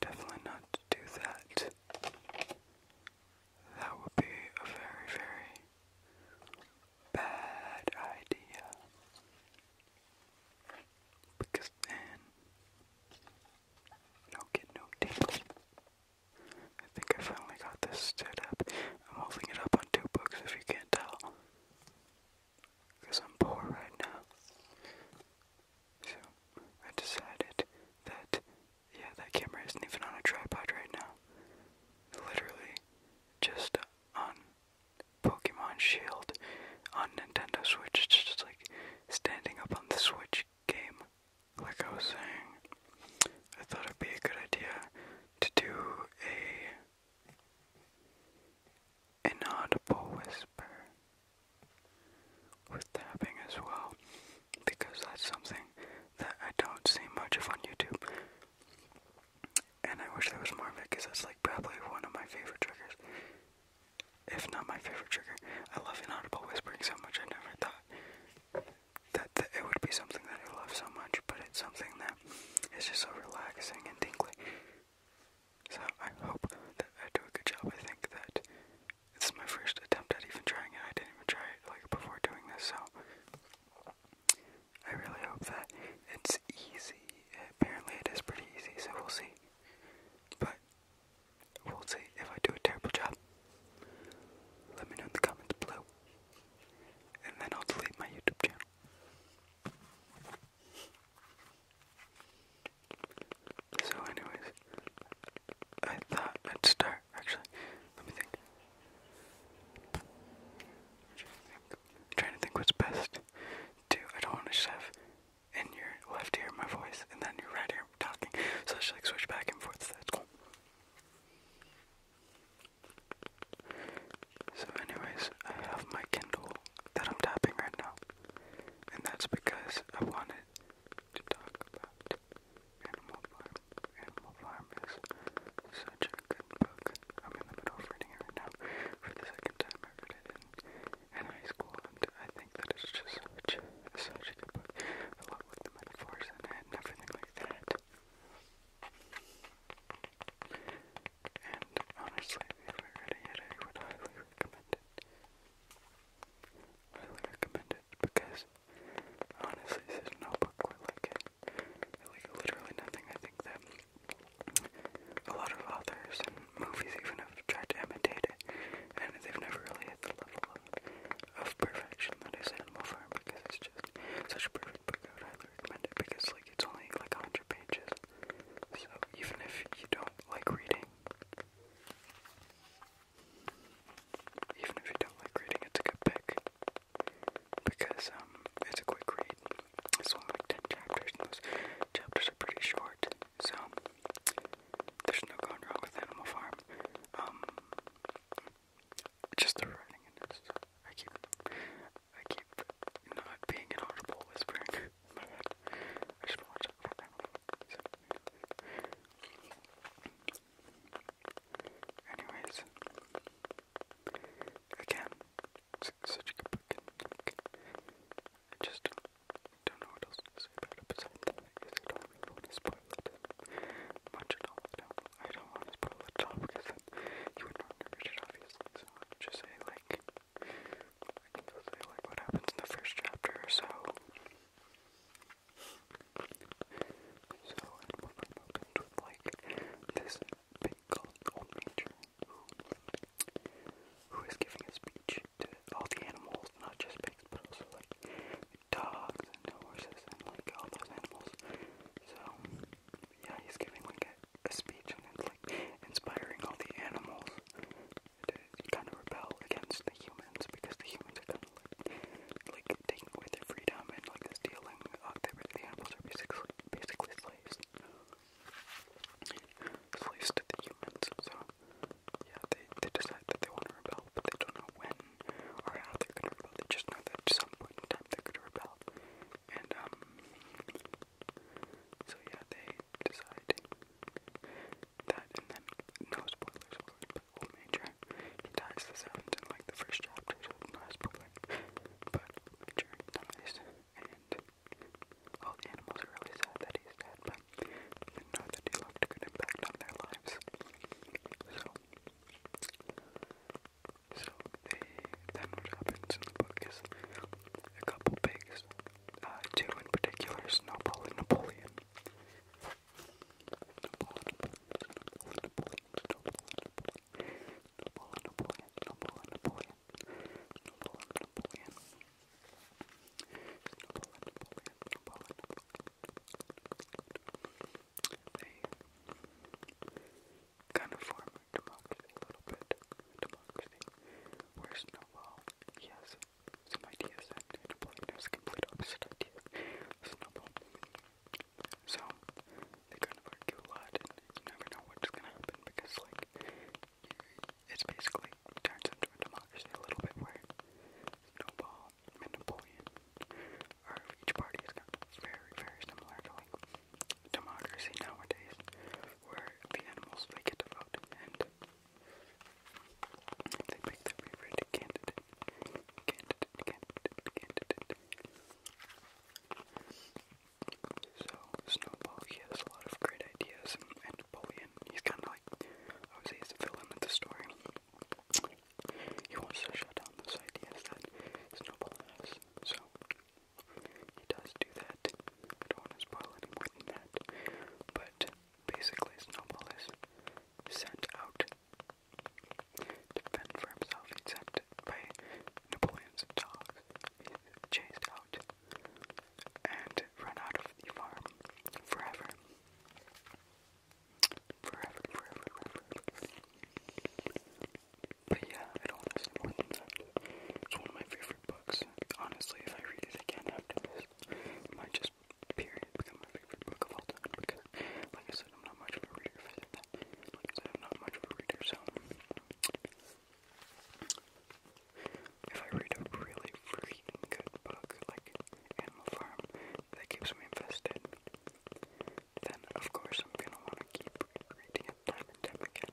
Definitely not do that. That would be a very, very bad idea. Because then you'll no tingles. I think I finally got this stood up. I'm holding it up on two books if you can't tell because I'm poor right now. So I decided that, yeah, that camera isn't even on a tripod right now. Literally, just on Pokemon Shield on Nintendo Switch. just like standing up on the Switch game. Like I was saying, I thought it'd be a good idea to do a inaudible whisper with tapping as well because that's something that I don't see much of on YouTube. And I wish there was more of it because that's like probably one of my favorite triggers. If not my favorite trigger. I love inaudible whispering so much I never thought that, that it would be something that I love so much, but it's something that is just so relaxing and tingly. So I hope that I do a good job. I think that it's my first attempt at even trying it. I didn't even try it like before doing this, so I really hope that it's easy. Apparently it is pretty easy, so we'll see. But we'll see if I do a terrible job. Let me know in the comments below. And then I'll delete my YouTube channel. So, anyways, I thought I'd start. Actually, let me think. trying to think what's best Do I don't want to just in your left ear my voice and then your right ear talking. So I should like switch back and forth. So that's cool. So, anyways, I have my Kindle that I'm tapping right now and that's because I wanted to talk about Animal Farm. Animal Farm is such a good book. I'm in the middle of reading it now for the second time. I read it in, high school, and I think that it's just such, such a book. I love like, the metaphors in it everything like that. And honestly, if you read it I would highly recommend it. I really recommend it because honestly, this is no book quite like it. Like literally nothing. I think that a lot of authors and movies even have tried to imitate it, and they've never really hit the level of, of perfection that is Animal Farm because it's just such a perfect book. I would highly recommend it because like it's only like 100 pages, so even if you don't like reading, even if you don't like reading, it's a good pick. Because um it's a quick read. It's only ten chapters those chapters are pretty short. So there's no going wrong with Animal Farm. Um just the writing in this. I keep I keep not being an audible whispering. I should watch it. Anyways, again, such a good book, just don't know what else to say about it besides that. Because I don't want to spoil it much at all. I don't want to spoil it at because then you would not remember it, obviously. So I'll just say, like, like what happens in the first chapter so. So and one of them opens like this big old nature who who is giving a speech to all the animals, not just pigs, but also like dogs and horses and like all those animals. So yeah, he's giving like a speech and it's like inspiring all the animals to kind of rebel against the humans because the humans are kind of like, taking away their freedom and like stealing. Uh, the, the animals are basically basically slaves, slaves to the humans. So yeah, they they decide that they want to rebel, but they don't know when or how they're gonna rebel. They just know that at some point in time they're gonna rebel, and um. So yeah, they decide that and then no spoilers of course, but old major he dies the seventh in like the first chapter, so not spoiling. But major dies and all the animals are really sad that he's dead, but they know that he left a good impact on their lives. So so they then what happens in the book is a couple pigs uh, two in particular, Snowball and Napoleon. They kind of form democracy a little bit. Democracy. Where Snowball, he has some ideas that deployment is complete opposite idea. Snowball. So they kind of argue a lot and you never know what's gonna happen because like it's basically turns into a democracy a little bit where Snowball and Napoleon are each party is kind of very, very similar to like democracy nowadays where the animals they get to vote and they pick their favorite candidate. Candidate, candidate, candidate. So, Snowball, he has a lot of great ideas, and, Napoleon, he's kind of like, obviously he's the villain of the story. He wants to shut down those ideas that Snowball has, so he does do that. I don't want to spoil any more than that, but Basically, Snowball is sent out to fend for himself, except by Napoleon's dog. He's chased out and run out of the farm forever. Forever, forever, forever. But yeah, I don't want to say more than that. It's one of my favorite books. Honestly, if I read it again after this, might just period become my favorite book of all time because, like I said, I'm not much of a reader. that, like I am not much of a reader, if I read a really freaking good book like Animal Farm that keeps me invested, then of course I'm gonna want to keep reading it time and time again.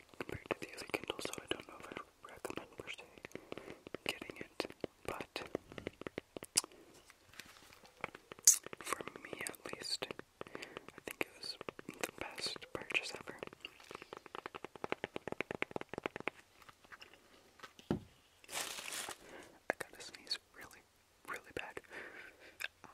compared to the other Kindle, so I don't know if I recommend getting it, but for me at least, I think it was the best purchase ever. I gotta sneeze really, really bad. Uh,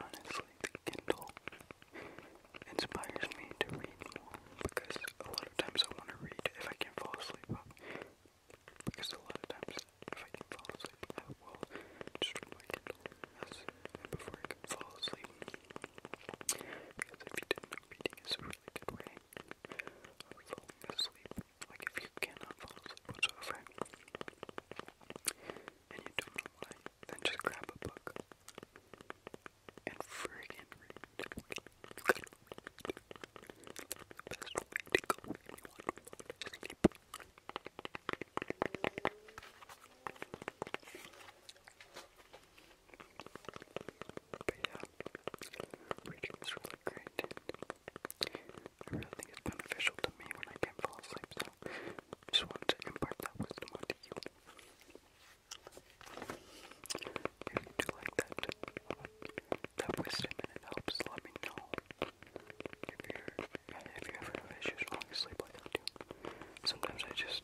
Honestly, the Kindle inspires me to read because a lot of times I want to read if I can fall asleep. Because a lot of times if I can fall asleep, I will just read my Kindle before I can fall asleep. Because if you didn't know, reading is a really good way asleep. Like if you cannot fall asleep whatsoever, and you don't know then just grab a book and friggin' read. The best way to go to fall But yeah, which really great. I really think it's beneficial to me when I can't fall asleep, so just wanted to impart that wisdom onto you. If you like that, that wisdom and it helps, let me know. If you're, if you ever have issues falling asleep like I do, sometimes I just.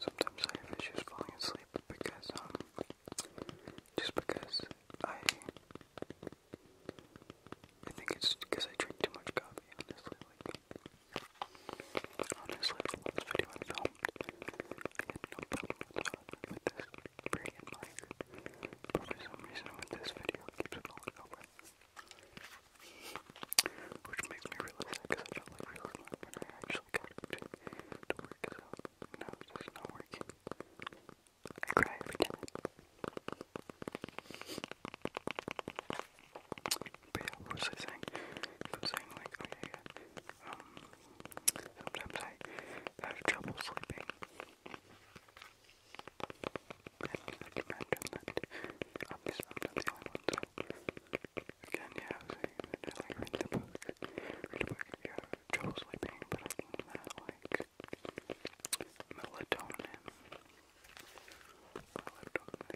Sometimes I have issues falling asleep because, um, just because I, I think it's because I drink too much coffee, honestly, honestly, this video I filmed, I had no problem with, uh, with this freaking mic, but some reason with this video keeps falling over. Which makes me realize that because I felt like real when I actually special character to work it out. No, it's not working. I cry every time. But yeah, what was I saying? I was saying like, okay, yeah, um, sometimes I have trouble sleeping. And I can imagine that I'm, I'm not the only one, so Again, yeah, so you just like read the book. Read the book if you have trouble sleeping, but I think that like melatonin. Melatonin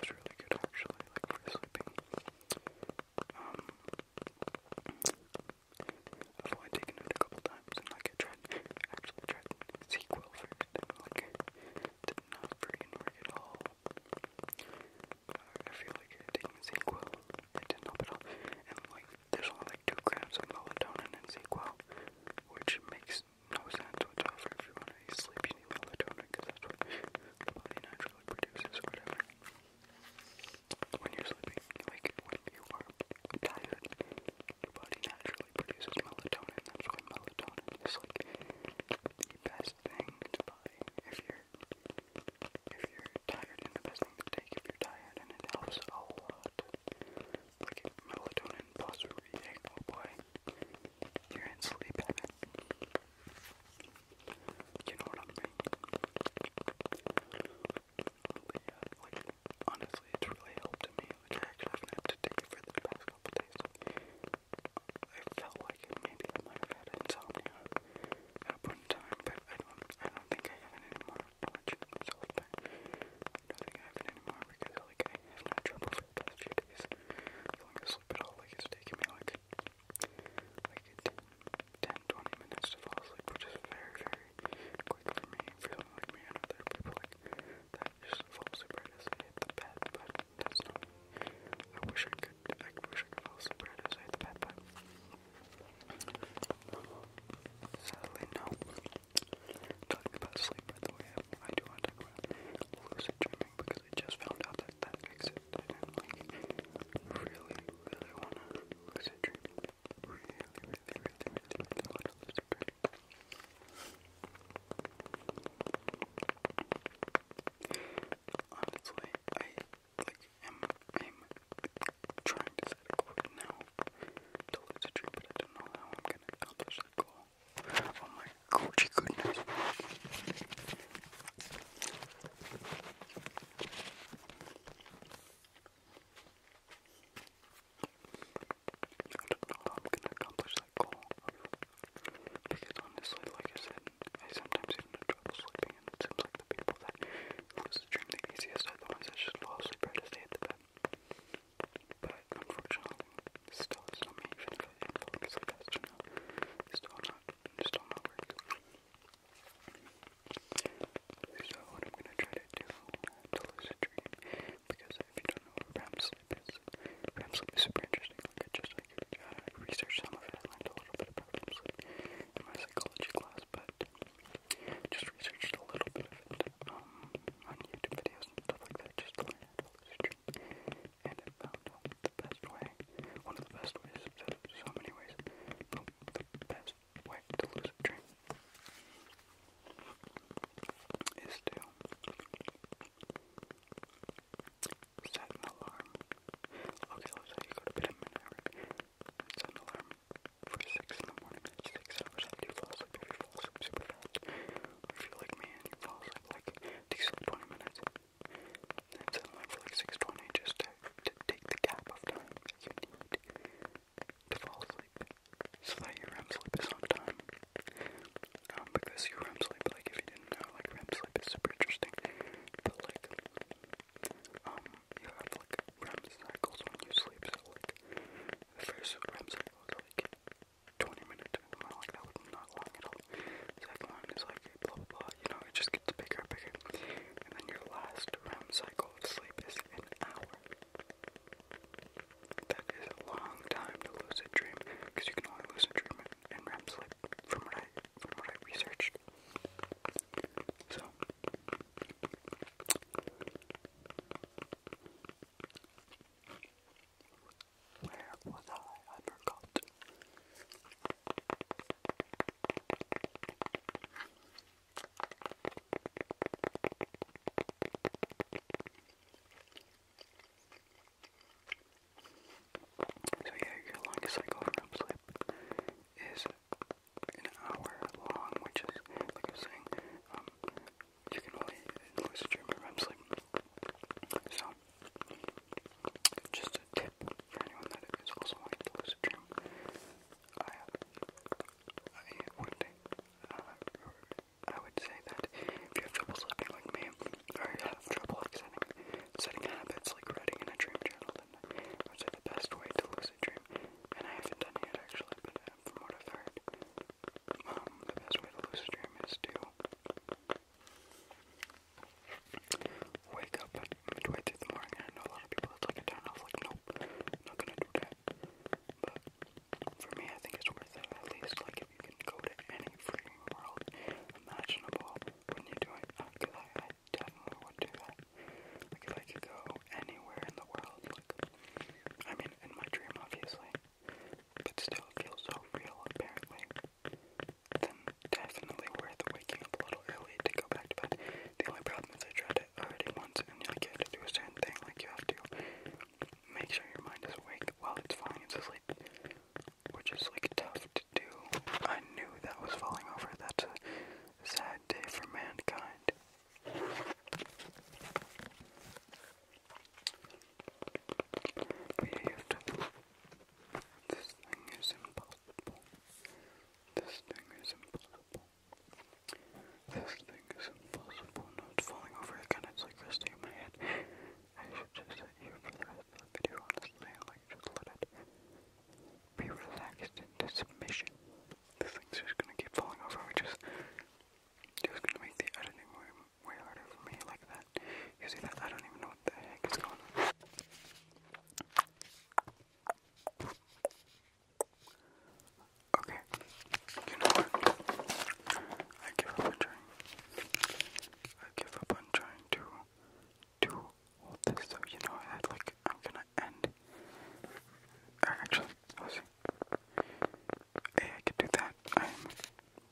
is really good actually, like for sleeping. Um I've only taken it a couple times and like I tried actually tried sequel first and like did not freaking work at all. I feel like taking Sequel, it didn't help at all. And like, there's only like two grams of melatonin in Sequel, which makes no sense whatsoever. If you want to sleep, you need melatonin because that's what the body naturally produces, whatever. When you're sleeping, like when you are tired, your body naturally produces melatonin. That's why melatonin is like the best thing to buy if you're if you're tired, and the best thing to take if you're tired, and it helps a lot. Like melatonin plus reading, oh boy, you're in sleep heaven. You know what I mean? But honestly, it's really helped me. which I actually haven't had to take it for the past couple days. I felt like it, maybe I might have had insomnia at a time, but I don't, I don't think I have it anymore. i don't think I have it anymore because like I have no trouble for the past few days. at all, like it's taking me like like 10, 10 20 minutes to fall asleep, which is very, very quick for me. Feeling like me and other people like that just fall asleep right the bed, I wish I could. I wish I could fall asleep right outside but sadly, no. Talking about sleep, by the way, I do want to talk about lucid dreaming because I just found out that that exists, i really, really want to lucid dream. Really, really, really, really, really want to lucid dream. Honestly, I like, I'm, I'm trying to set a quote now to lose but I don't know how I'm gonna accomplish that goal. Oh my Gucci goodness. I don't know how I'm gonna accomplish that goal. Because honestly, like I said, I sometimes have trouble sleeping, it seems like the people that lose the dream the easiest are the ones that just fall asleep right to stay at the bed. But unfortunately, this still not me, even if I am falling asleep fast enough. It's still not, it's still not work. So, what I'm gonna try to do to lucid dream, because if you don't know what REM sleep is, REM super interesting. I researched some of it. I learned a little bit about REM in my psychology class, but just researched a little bit of it um, on YouTube videos and stuff like that, just to learn how to And found the best way, one of the best ways, so many the best way to lose a dream is to Set an alarm. Okay, let's you go to bed at midnight. Set an alarm for 6 in the morning. 6 hours after you fall asleep. If you fall asleep if you like me and you fall asleep like, takes like 20 minutes. Then set an alarm for like 6.20 just to, take the gap of time that you need to fall asleep. So that your REM sleep is on time. Um, because your REM sleep, like if you did and uh, like REM sleep is super interesting. But like, um, you have like REM cycles when you sleep. So like, the first REM cycle is like 20 minutes, something like that, was not long at all. second one is like blah blah blah. You know, it just gets bigger and bigger. And then your last REM cycle of sleep is an hour. That is a long time to lose a dream because you can only lose a dream in REM sleep. From what I from what I researched. So where was I? I forgot. So yeah, your longest cycle from sleep is an hour long, which is, like I was saying, um, you can only lucid dream REM sleep. So, just a tip for anyone that is also wanting to lucid dream. I, I would, uh, I would say that if you have trouble sleeping like me, or you have trouble extending Setting habits like writing in a dream journal at the best way to lucid dream, and I haven't done yet actually, but uh, from what I've heard, um, the best way to lucid dream is to wake up midway through the morning. I know a lot of people that's like a off, like nope, not gonna do that. But for me, I think it's worth it. At least like if you can go to any freaking world imaginable when you do it, because uh, definitely would do that. I could go anywhere in the world, like I mean in my dream obviously, but still feels so real apparently. definitely worth waking up a little early to go back to The only problem is I tried it already once and like you have to do a certain thing, like you have to make sure your mind is awake while it's falling into which is like tough to do. I knew that was falling over. That's a sad day for mankind. But yeah, you have to. This thing is impossible. This thing is impossible. This thing is impossible. No, it's falling over again. It's like resting in my head. I should just set you for the rest of the video, honestly. Like, just let it be relaxed into submission. This thing's just gonna keep falling over, which is just gonna make the editing way, way harder for me like that. You see that? I don't even know what the heck is going on. Okay, you know what? I give up trying. I give up on trying to to hold this, so you know I like I'm gonna end. actually, let's Hey, I could do that. I'm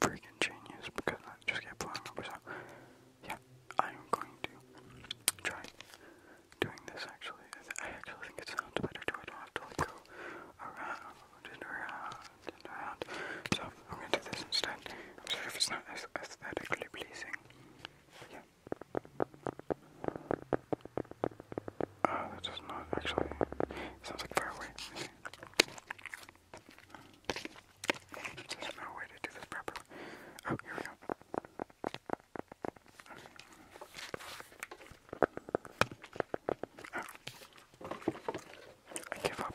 freaking genius because I just kept blowing over. So yeah, I'm going to try doing this. Actually, I, actually think it sounds better too. I don't have to like go around and around and around. So I'm gonna do this instead. I'm sorry if it's not as aesthetically pleasing. Yeah. Uh, that does not actually. Sounds like far away. There's no way to do this properly. Oh, here we go. Oh. I give up.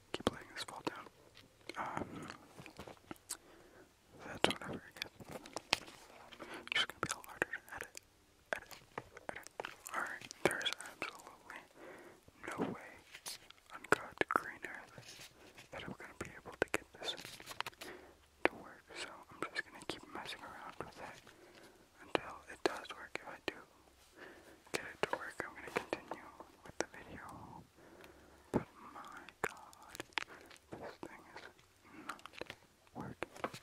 keep letting this fall down. Um, that's whatever, I guess. It's just gonna be a lot harder to edit, edit, edit. Alright, there's absolutely no way on God's green earth that I'm gonna be able to get this to work, so I'm just gonna keep messing around with it until it does work. If I do get it to work, I'm gonna continue with the video. But my god, this thing is not working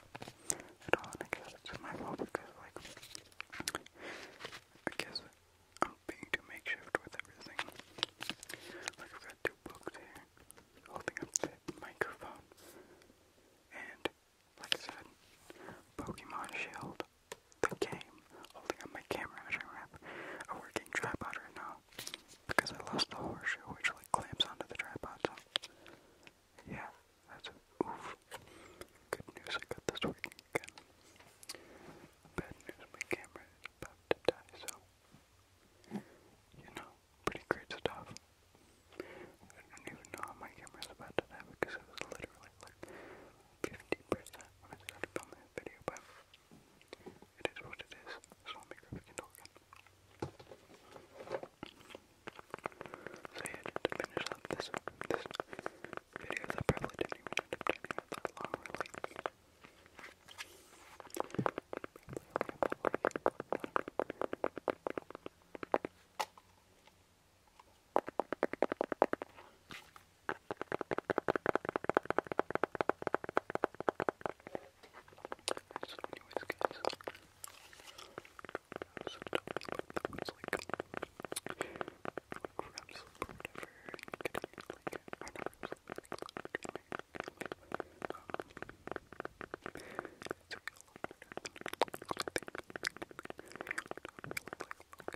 at all. I guess it's my fault because, like, I guess I'm being too makeshift with everything. Like, I've got two books here holding up the microphone, and like I said, Pokemon Shield the game, holding up my camera as I wrap a working tripod right now, because I lost the horseshoe which like clamps onto the tripod, yeah, that's oof. Good news, I got this working again. Bad news, my camera is about to die, so, you know, pretty great stuff. I don't even know how my camera is about to die because it was literally like percent when I started filming this video, but it is what it is, so I'll make a freaking token. So yeah, just to finish up this, this video that probably didn't even end long, really. So anyways guys, I was talking about that was like, like wrap slip or whatever, and getting like, or not wrap slip, but like slip in my, um, it's a real lot better than I think, I don't really like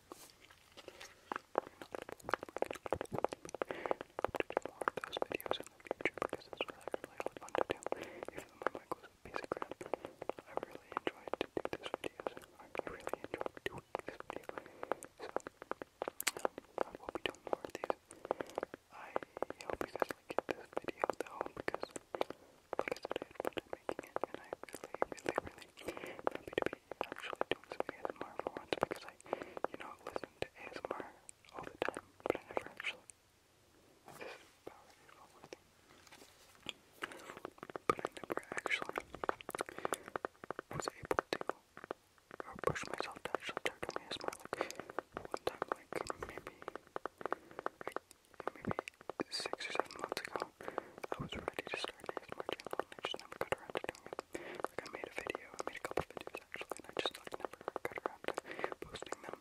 more of those videos in the future because it's really, really, really fun to do. Even though my mic was a piece I really enjoyed to this video. I really enjoyed doing this video. So, um, I will be doing more of these. I hope you guys like this video though because, like I fun making it and I really, really, really happy to be actually doing some ASMR for once because I, you know, listen to ASMR all the time, but I never actually. This is about it, but I never actually was able to push myself to actually start doing ASMR. Like one time, like maybe, maybe six or seven months ago, I was ready to start an ASMR channel never got around to doing it. Like I made a video, made a couple videos actually, and I just never got around to posting them.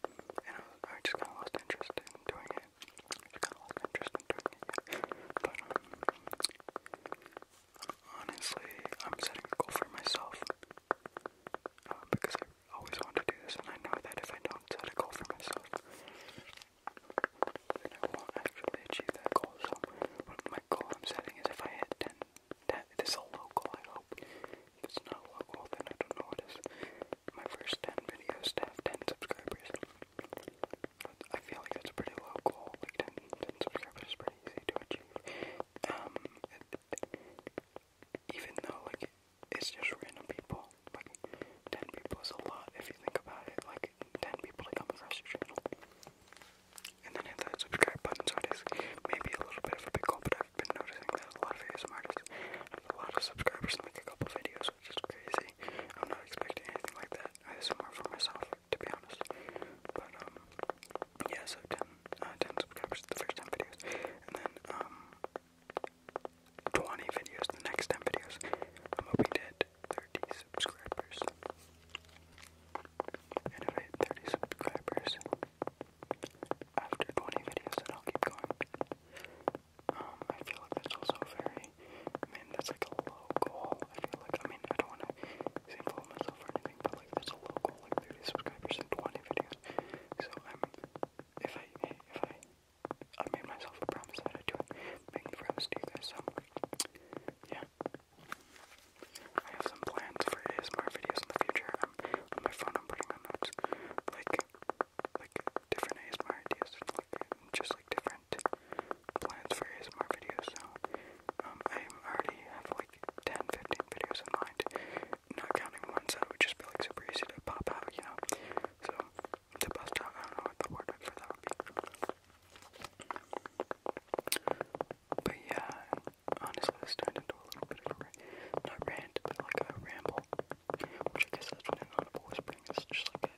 And I, just kind of lost interest in doing it. just kind of lost interest in doing it. But um, honestly, I'm setting a goal for myself um, because I always want to do this, and I know that if I don't set a goal for myself. You know what? I actually achieved that goal. So my goal I'm setting is if I hit 10, 10 a local, I hope. it's not local, I don't know what is. My first 10 videos to have 10 subscribers. I feel like that's pretty low Like 10, subscribers is pretty easy to achieve. Um, even though like it's just random people, like 10 people is a lot if you think about it. Like ten people come across your channel. And then hit that subscribe button, so it is maybe a little bit of a big goal, but i noticing that a lot of ASM artists have a lot of subscribers in a couple videos, which is crazy. I'm not expecting anything like that. I some more for myself, to be honest. But, um, yeah, so uh, subscribers the first 10 videos, and then, um, 20 videos the next 10 videos. I'm hoping to hit 30 subscribers. And I hit 30 subscribers after 20 videos, then I'll keep going. Um, I feel like that's also very, I mean, that's like a low goal. I feel like, I mean, I don't want to seem full of myself or anything, but like that's a low goal, like 30 subscribers and 20 videos. So I'm, if I, if I, I made myself a promise that I'd do it, making the promise to you guys, so, yeah, I have some plans for ASMR videos in the future. on my phone, I'm putting notes, like, like different ASMR ideas, just like different plans for ASMR videos. So, um, I already have like 10, 15 videos in mind, not counting ones that would just be like super easy to pop out, you know. So, to bust out, I don't know what the word for that but yeah, honestly, this turned into a little bit of a not rant, but like a ramble. Which I guess that's what an audible whispering is, just like a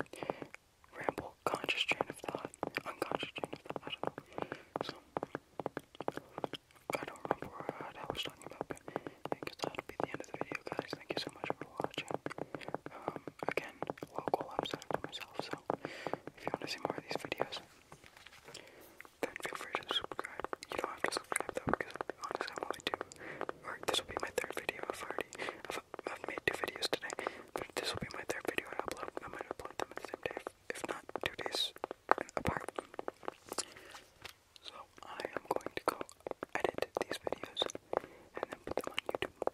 ramble, conscious train of thought, unconscious train of thought, I don't know. So, I don't remember what I was talking about, but I that'll be the end of the video, guys. Thank you so much for watching. Um, again, local episode for myself, so if you want to see more of these videos, then feel free to subscribe. You don't have to subscribe though, because honestly, i only two. Or this will be my third video. already, I've, made two videos today, but this will be my third video I upload. I might upload them the same day, if not two days apart. So I am going to go edit these videos and then put them on YouTube.